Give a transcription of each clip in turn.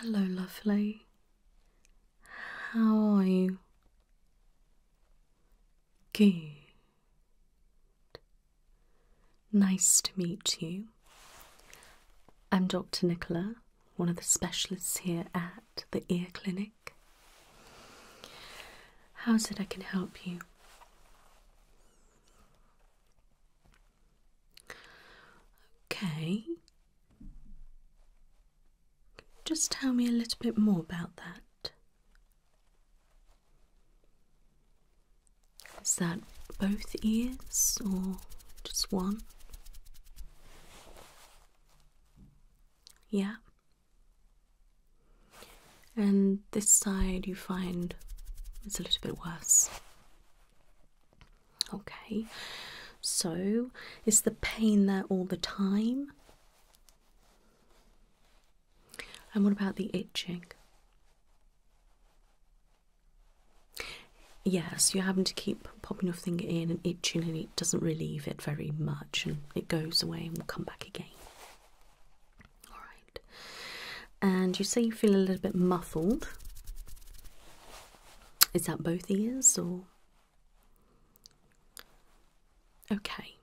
Hello, lovely. How are you? Good. Nice to meet you. I'm Dr. Nicola, one of the specialists here at the ear clinic. How is it I can help you? Okay. Just tell me a little bit more about that. Is that both ears or just one? Yeah. And this side you find it's a little bit worse. Okay, so is the pain there all the time? And what about the itching? Yes, you're having to keep keep popping your thing in and itching, and it doesn't relieve it very much, and it goes away and will come back again. All right, and you say you feel a little bit muffled. Is that both ears or? Okay.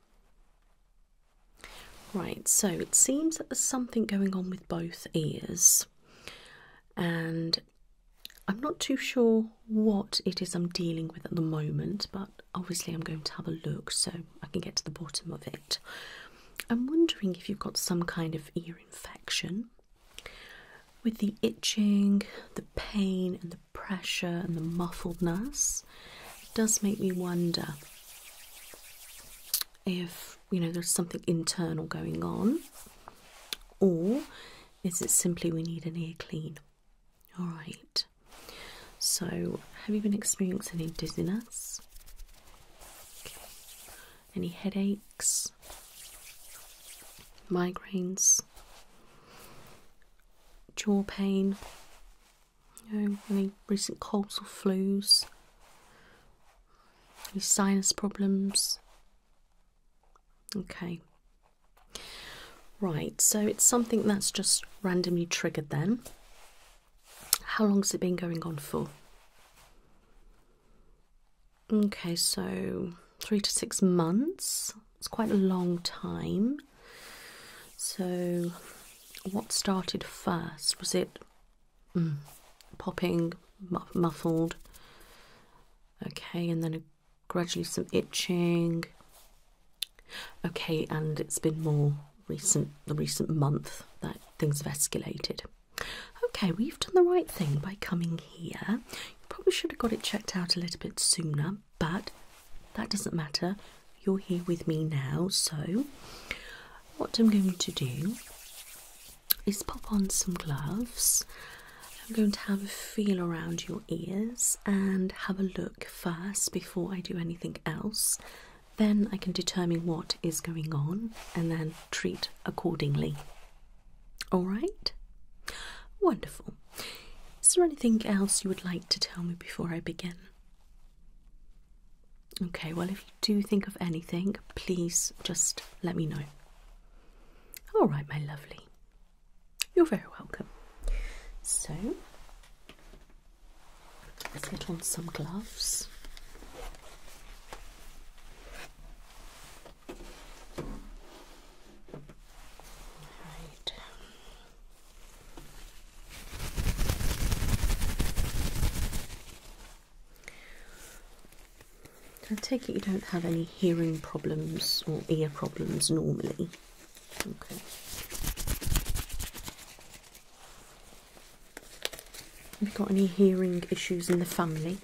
Right, so it seems that there's something going on with both ears, and I'm not too sure what it is I'm dealing with at the moment, but obviously I'm going to have a look so I can get to the bottom of it. I'm wondering if you've got some kind of ear infection. With the itching, the pain, and the pressure, and the muffledness, it does make me wonder if you know there's something internal going on, or is it simply we need an ear clean? Alright, so have you been experiencing any dizziness? Any headaches? Migraines? Jaw pain? any recent colds or flus? Any sinus problems? Okay. Right, so it's something that's just randomly triggered then. How long's it been going on for? Okay, so three to six months. It's quite a long time. So, what started first? Was it mm, popping, muffled? Okay, and then gradually some itching. Okay, and it's been more recent, the recent month that things have escalated. Okay, we've done the right thing by coming here. You probably should have got it checked out a little bit sooner, but that doesn't matter. You're here with me now, so what I'm going to do is pop on some gloves I'm going to have a feel around your ears and have a look first before I do anything else. Then I can determine what is going on and then treat accordingly. All right? Wonderful. Is there anything else you would like to tell me before I begin? Okay, well, if you do think of anything, please just let me know. All right, my lovely. You're very welcome. So, let's get on some gloves. Right. I take it you don't have any hearing problems or ear problems normally. Have you got any hearing issues in the family?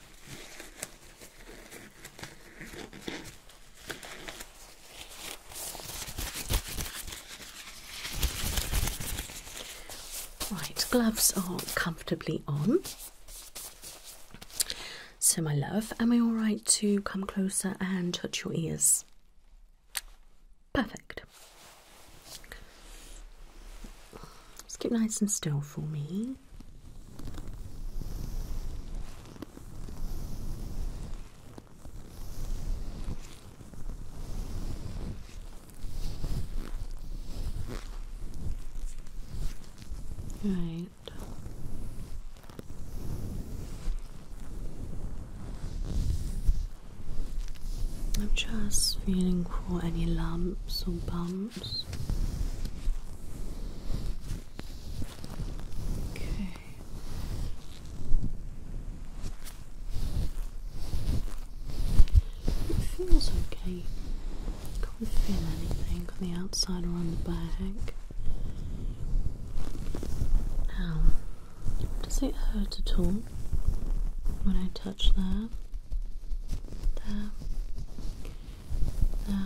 Right, gloves are comfortably on. So, my love, am I all right to come closer and touch your ears? Perfect. Just keep nice and still for me. Right, I'm just feeling for any lumps or bumps. Okay. It feels okay. Can't feel anything on the outside or on the back. Now, does it hurt at all when I touch that? There. There.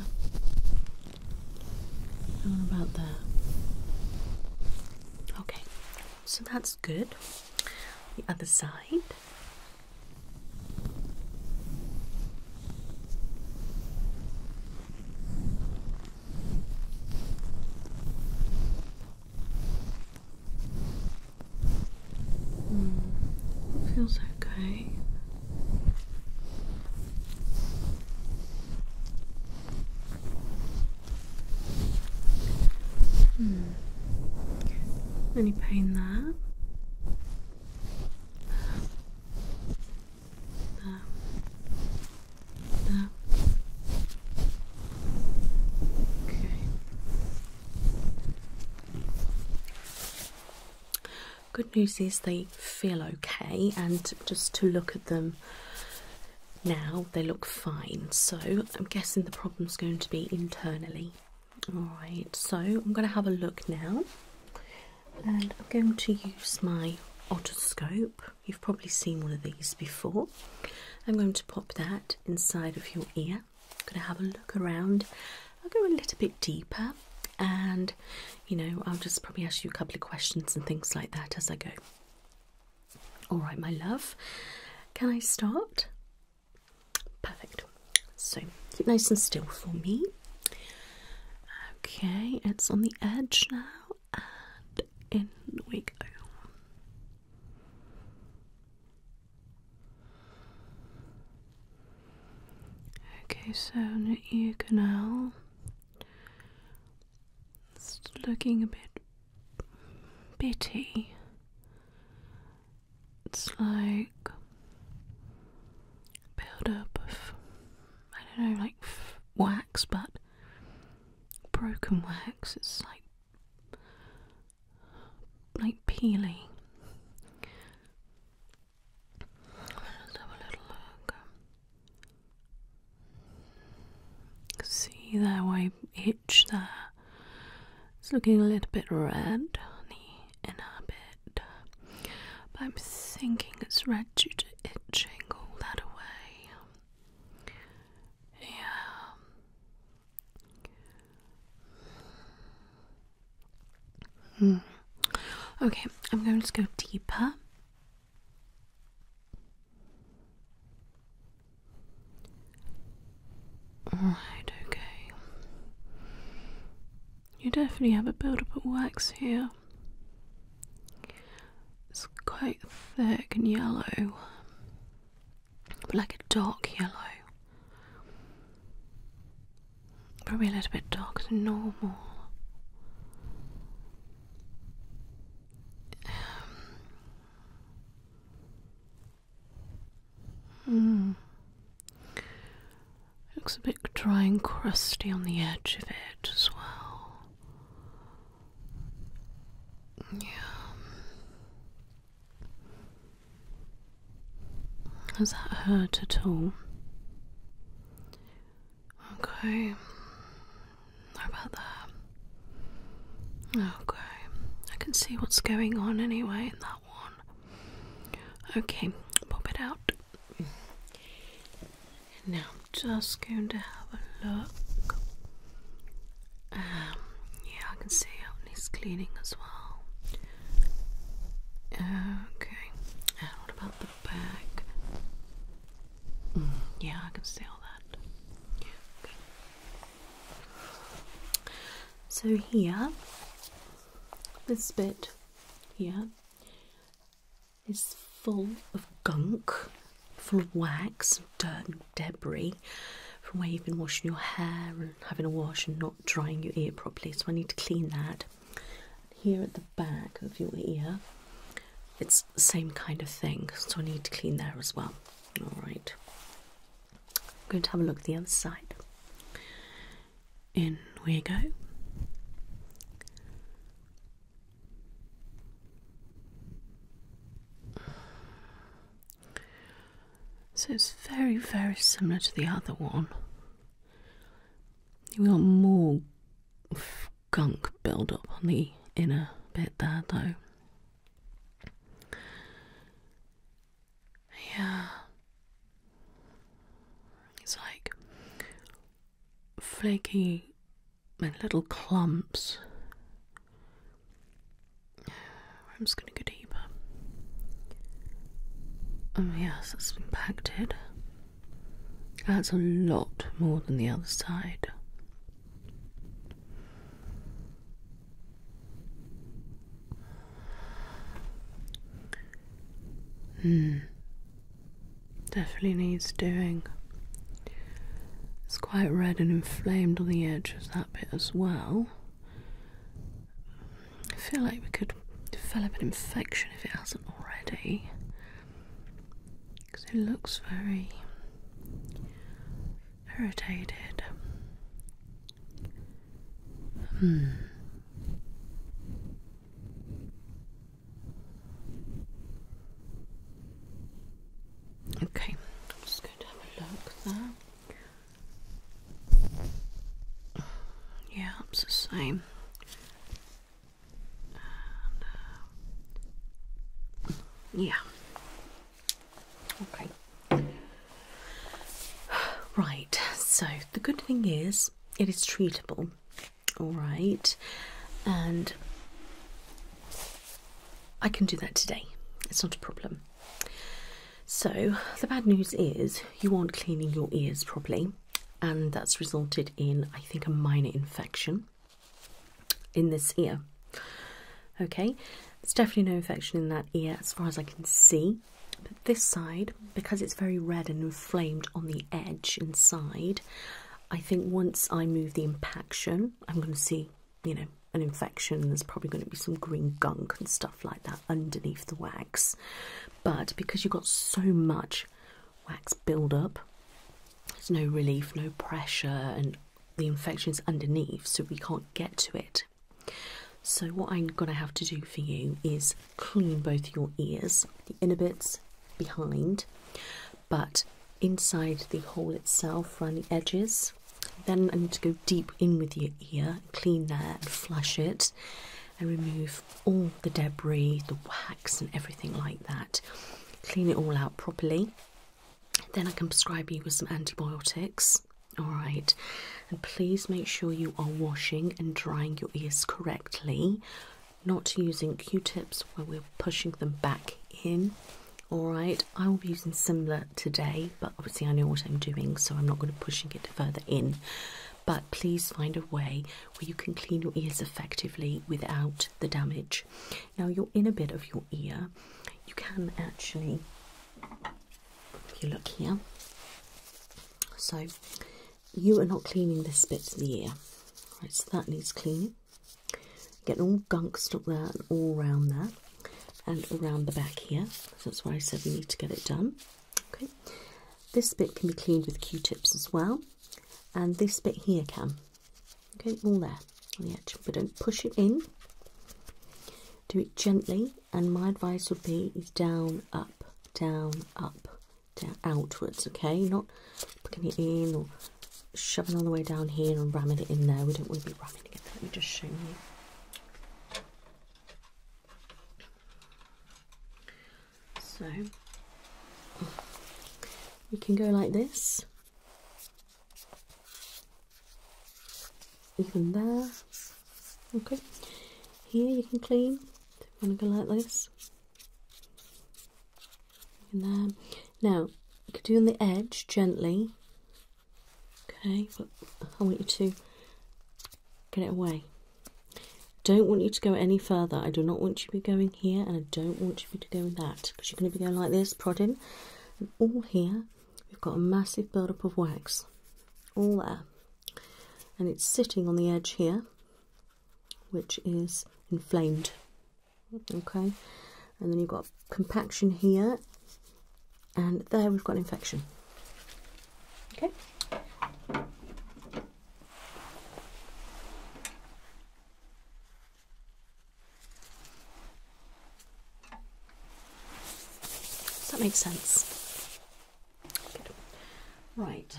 And about there? Okay, so that's good. The other side. Hmm, feels okay. Hmm. Any pain there? Okay. Good news is they feel okay, and just to look at them now, they look fine. So, I'm guessing the problem's going to be internally. Alright, so I'm going to have a look now, and I'm going to use my otoscope You've probably seen one of these before. I'm going to pop that inside of your ear. I'm going to have a look around. I'll go a little bit deeper and, you know, I'll just probably ask you a couple of questions and things like that as I go. All right, my love, can I start? Perfect. So keep nice and still for me. Okay, it's on the edge now and in we go. Okay, so the ear canal. It's looking a bit bitty. It's like build up of I don't know, like wax, but broken wax. It's like like peely. Let's have a little look. See that way itch there. It's looking a little bit red on the inner bit. I'm thinking it's red due to itching all that away. Yeah. Okay, I'm going to go deeper. Alright, okay. You definitely have a build up of wax here. It's quite thick and yellow, but like a dark yellow. Probably a little bit darker than normal. Um, hmm. Looks a bit dry and crusty on the edge of it as well. Yeah. Has that hurt at all? Okay. about that? Okay. I can see what's going on anyway in that one. Okay, pop it out. And now I'm just going to have a look. Um, yeah, I can see how it cleaning as well. Okay, and what about the back? Mm, yeah, I can see all that. okay. So here, this bit here is full of gunk, full of wax, and dirt, and debris from where you've been washing your hair and having a wash and not drying your ear properly. So I need to clean that. Here at the back of your ear, it's the same kind of thing. So I need to clean there as well. All right. I'm going to have a look at the other side. In we go. So it's very, very similar to the other one. You got more gunk build up on the inner bit there, though. Yeah. It's like flaky and little clumps. I'm just gonna go deeper. Oh yes, that's impacted. That's a lot more than the other side. Hmm. Definitely needs doing. It's quite red and inflamed on the edge of that bit as well. I feel like we could develop an infection if it hasn't already. Because it looks very irritated. Hmm. Okay, Yeah, it's the same. Uh, yeah. Okay. Right, so the good thing is it is treatable. All right, and I can do that today. It's not a problem. So, the bad news is you aren't cleaning your ears properly, and that's resulted in, I think, a minor infection in this ear. Okay, there's definitely no infection in that ear as far as I can see, but this side, because it's very red and inflamed on the edge inside, I think once I move the impaction, I'm going to see, you know, an infection. There's probably going to be some green gunk and stuff like that underneath the wax. But because you've got so much wax buildup, there's no relief, no pressure, and the infection's underneath, so we can't get to it. So, what I'm going to have to do for you is clean both your ears, the inner bits behind but inside the hole itself around the edges. Then I need to go deep in with your ear, clean that and flush it and remove all the debris, the wax and everything like that. Clean it all out properly. Then I can prescribe you with some antibiotics. Alright, and please make sure you are washing and drying your ears correctly not using q-tips where we're pushing them back in alright I will be using similar today but obviously I know what I'm doing so I'm not going to be pushing it further in but please find a way where you can clean your ears effectively without the damage now your inner bit of your ear you can actually if you look here so you are not cleaning this bit of the ear right so that needs cleaning Getting all gunk stuck there and all round there and around the back here. that's why I said we need to get it done. Okay. This bit can be cleaned with Q-tips as well. And this bit here can. Okay, all there on the edge. But don't push it in. Do it gently. And my advice would be is down, up, down, up, down, outwards. Okay, not Putting it in or shoving all the way down here and ramming it in there. We don't want to be ramming it in there. Let me just show you. So you can go like this, even there. Okay, here you can clean. You want to go like this? in Now, you can do on the edge gently, okay, but I want you to get it away. Don't want you to go any further. I do not want you to be going here, and I don't want you to be going that because you're going to be going like this, prodding, and all here we've got a massive buildup of wax, all there, and it's sitting on the edge here, which is inflamed okay and then you've got compaction here and there we've got infection okay does that make sense right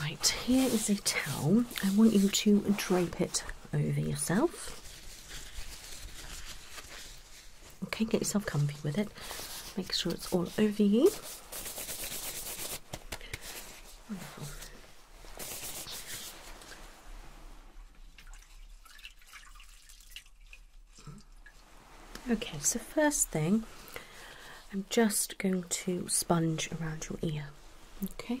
Right, here is a towel. I want you to drape it over yourself. Okay, get yourself comfy with it. Make sure it's all over you. Okay, so first thing, I'm just going to sponge around your ear. Okay.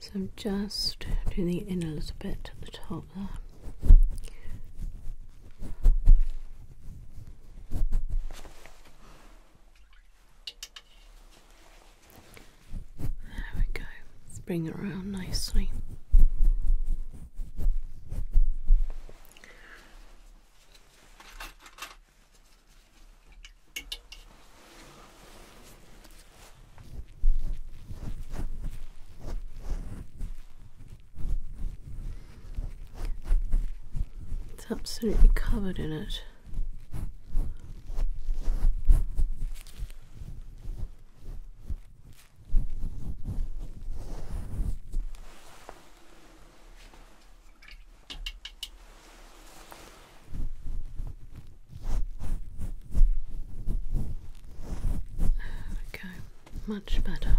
So I'm just doing it in a little bit at the top there. There we go. bring it around nicely. It's absolutely covered in it. There we go, much better.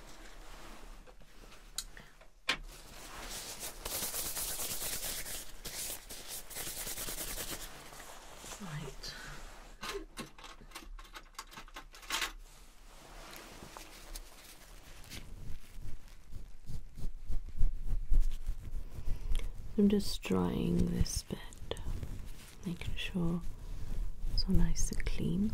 I'm just drying this bed, making sure it's all nice and clean.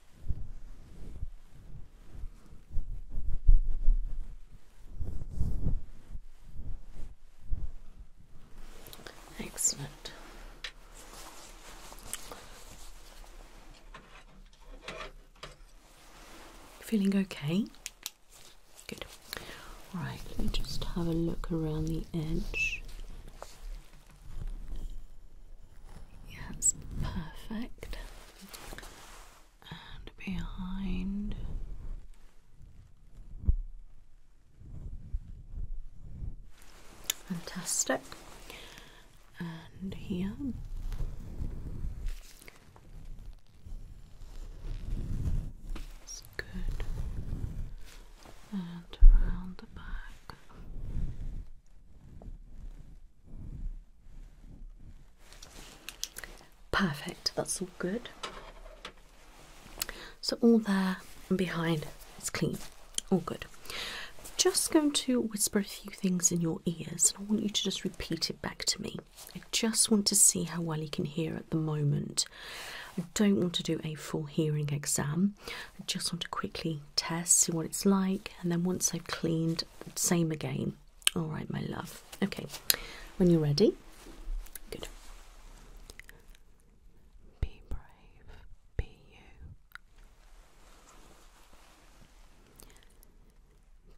Excellent. Feeling okay? Good. All right, let me just have a look around the edge. Yeah, that's perfect and behind. Fantastic. And here. It's good. And around the back. Perfect, that's all good. So, all there and behind is clean, all good. Just going to whisper a few things in your ears, and I want you to just repeat it back to me. I just want to see how well you can hear at the moment. I don't want to do a full hearing exam, I just want to quickly Test. See what it's like, and then once I've cleaned, same again. All right, my love. Okay, when you're ready, good. Be brave, be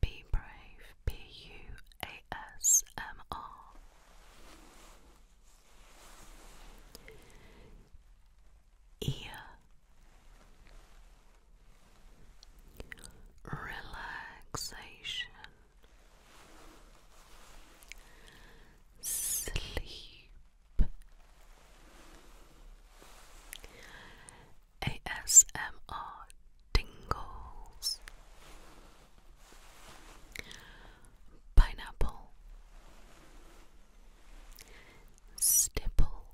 Be brave, be ear. Relaxation, sleep, ASMR tingles, pineapple, stipple,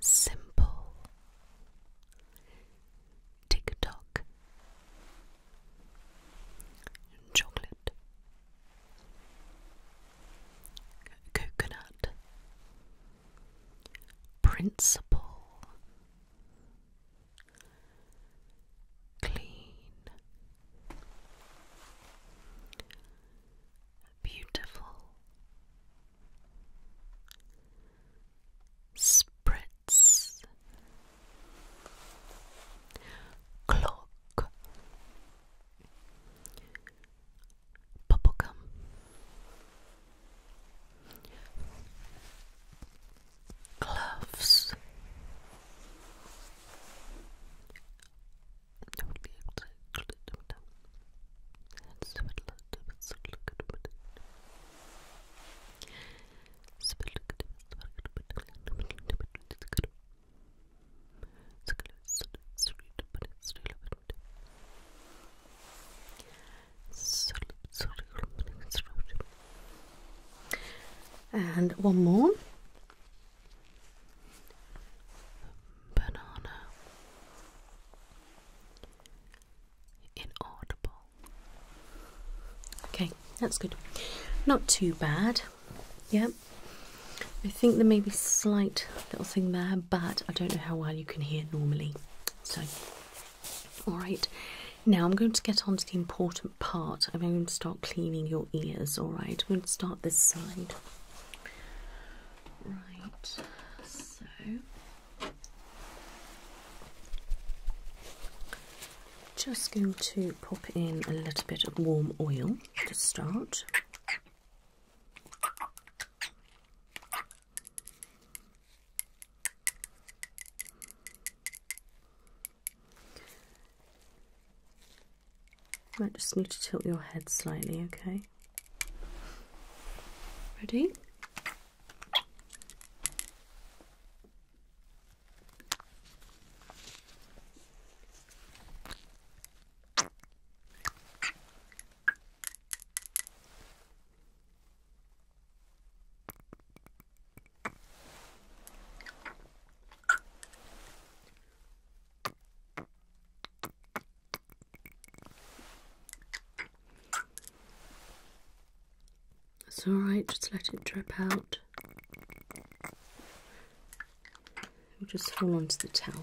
simple, tick tock, chocolate, coconut, principle, clean beautiful. Spritz Clock Bubblegum Gloves and one more banana inaudible okay that's good not too bad yep i think there may be slight little thing there but i don't know how well you can hear normally so all right now i'm going to get on to the important part i'm going to start cleaning your ears all right i'm going to start this side Right, so just going to pop in a little bit of warm oil to start. I just need to tilt your head slightly, okay? Ready? That's alright, just let it drip out. We'll just hold onto the towel.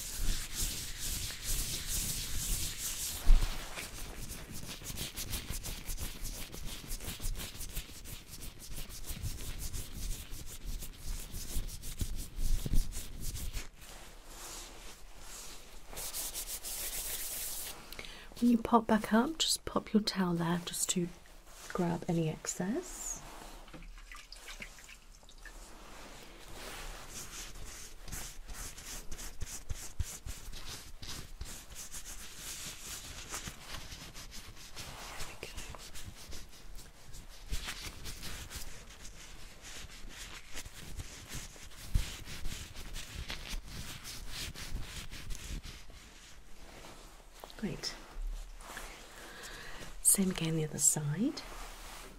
When you pop back up, just pop your towel there just to grab any excess. Great. Same again the other side.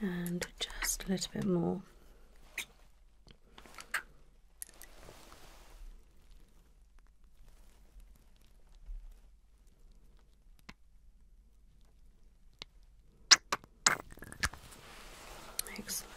and just a little bit more. Excellent.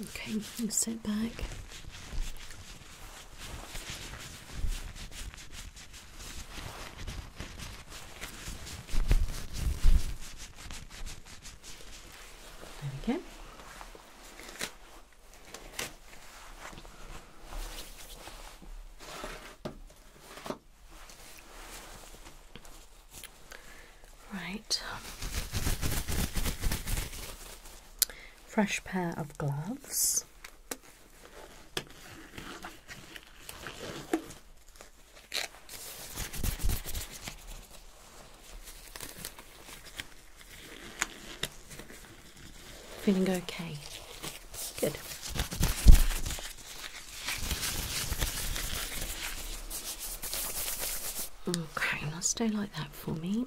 Okay, you sit back. There we go. Right fresh pair of gloves. Feeling okay? Good. Okay, now stay like that for me.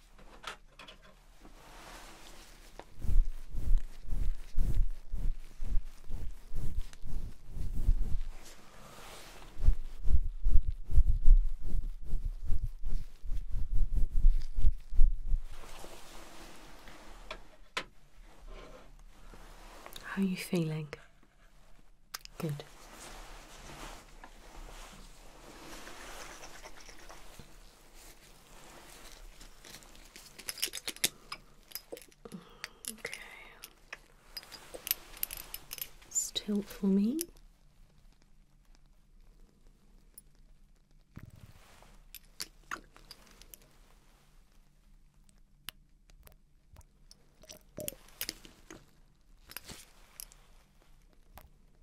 How are you feeling? Good. Okay. let for me.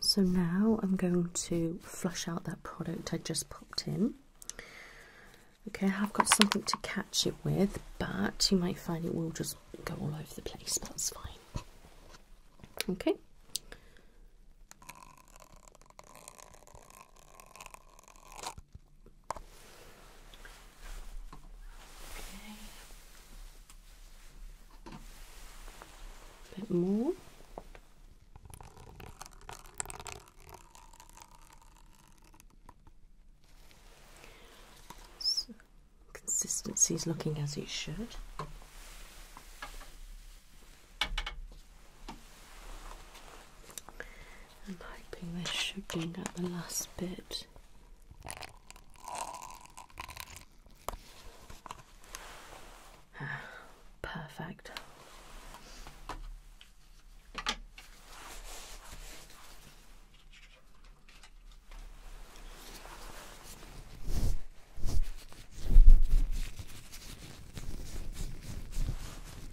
So now I'm going to flush out that product I just popped in. Okay, I have got something to catch it with, but you might find it will just go all over the place, but that's fine. Okay. Okay. A bit more. So, consistency is looking as it should. I'm hoping this should bring out the last bit. Ah, perfect.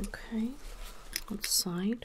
Okay, outside.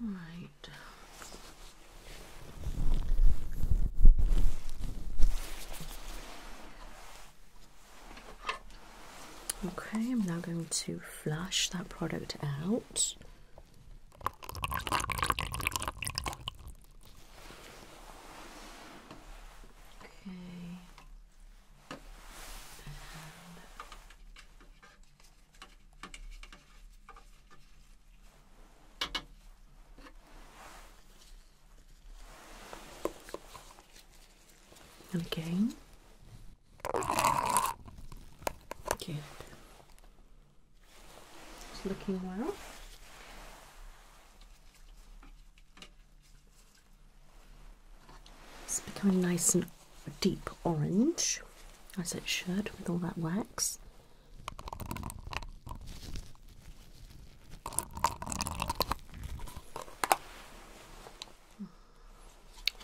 Right. Okay, I'm now going to flush that product out. Okay. And again. Good. It's looking well. It's becoming nice and a deep orange, as it should with all that wax.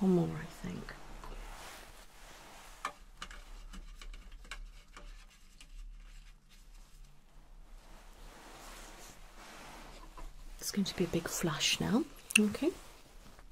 One more, I think. It's going to be a big flush now. Okay.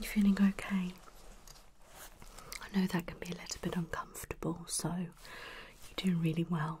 You feeling okay? I know that can be a little bit uncomfortable, so you're doing really well.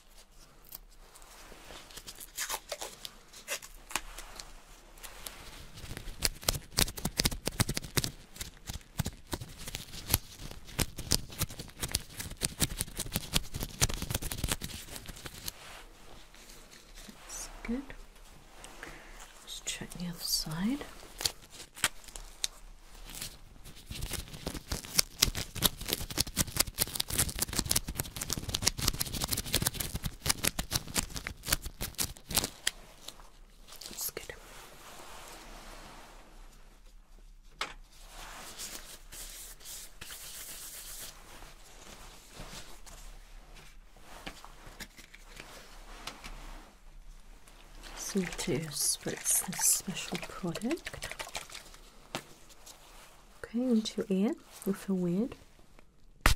That's good. Let's check the other side. It's good. So to spritz this special product. Okay, into air. ear. You'll feel weird. Okay.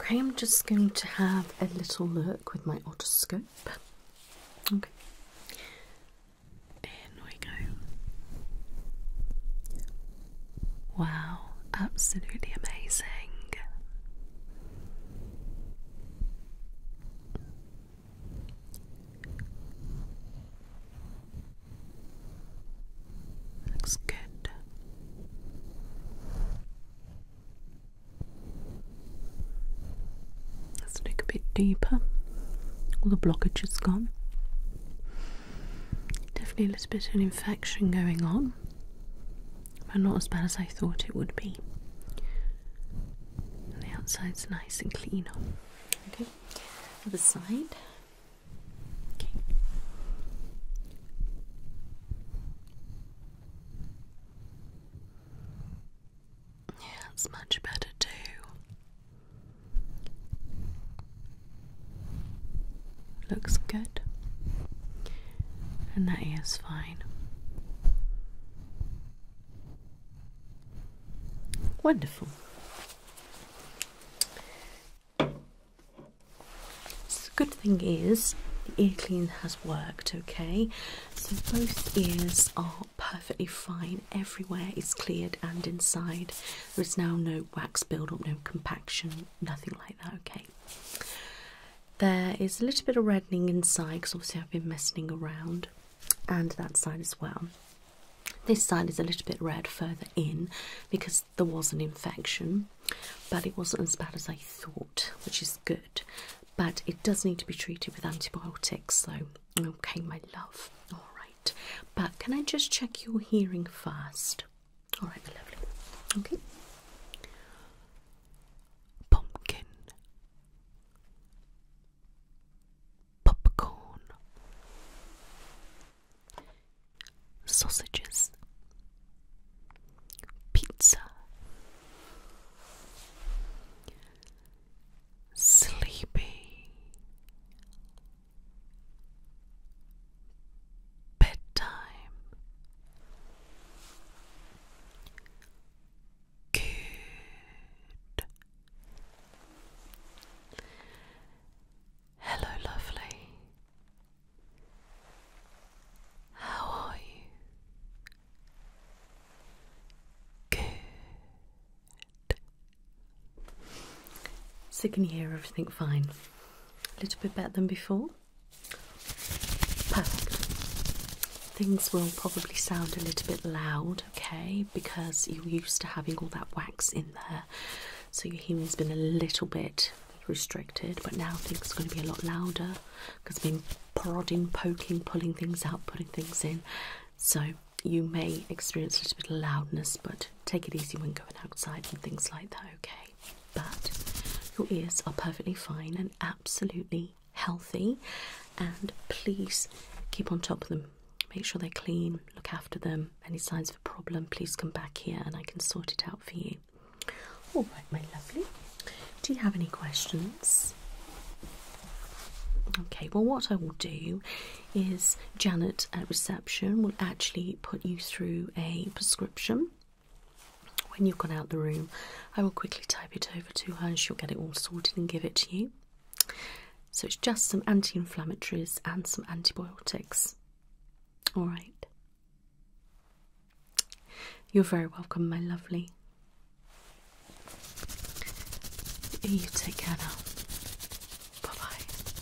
Okay, I'm just going to have a little look with my otoscope. Okay. In we go. Wow, absolutely amazing. Looks good. Let's look a bit deeper. All the blockage is gone. Definitely a little bit of an infection going on, but not as bad as I thought it would be. the outside's nice and clean the side. Okay. Yeah, it's much better too. Looks good. And that is fine. Wonderful the good thing is the ear clean has worked, okay? So both ears are perfectly fine. Everywhere is cleared and inside. There is now no wax buildup, no compaction, nothing like that, okay? There is a little bit of reddening inside because obviously I've been messing around and that side as well. This side is a little bit red further in because there was an infection, but it wasn't as bad as I thought, which is good. But it does need to be treated with antibiotics, so okay, my love. All right, but can I just check your hearing first? All right, my lovely. Okay. Pumpkin, popcorn, sausages, pizza, sleepy, bedtime. Good Hello, lovely. How are you? Good. So, can you hear everything fine? A little bit better than before? Perfect. Things will probably sound a little bit loud, okay, because you're used to having all that wax in there. So your hearing's been a little bit restricted, but now things are going to be a lot louder because I've been prodding, poking, pulling things out, putting things in. So you may experience a little bit of loudness, but take it easy when going outside and things like that, okay? But your ears are perfectly fine and absolutely healthy, and please keep on top of them. Make sure they're clean, look after them. Any signs of a problem, please come back here and I can sort it out for you. All right, my lovely. Do you have any questions? Okay, well, what I will do is Janet at reception will actually put you through a prescription. When you've gone out the room, I will quickly type it over to her and she'll get it all sorted and give it to you. So it's just some anti inflammatories and some antibiotics. All right. You're very welcome, my lovely. You take care now. Bye bye.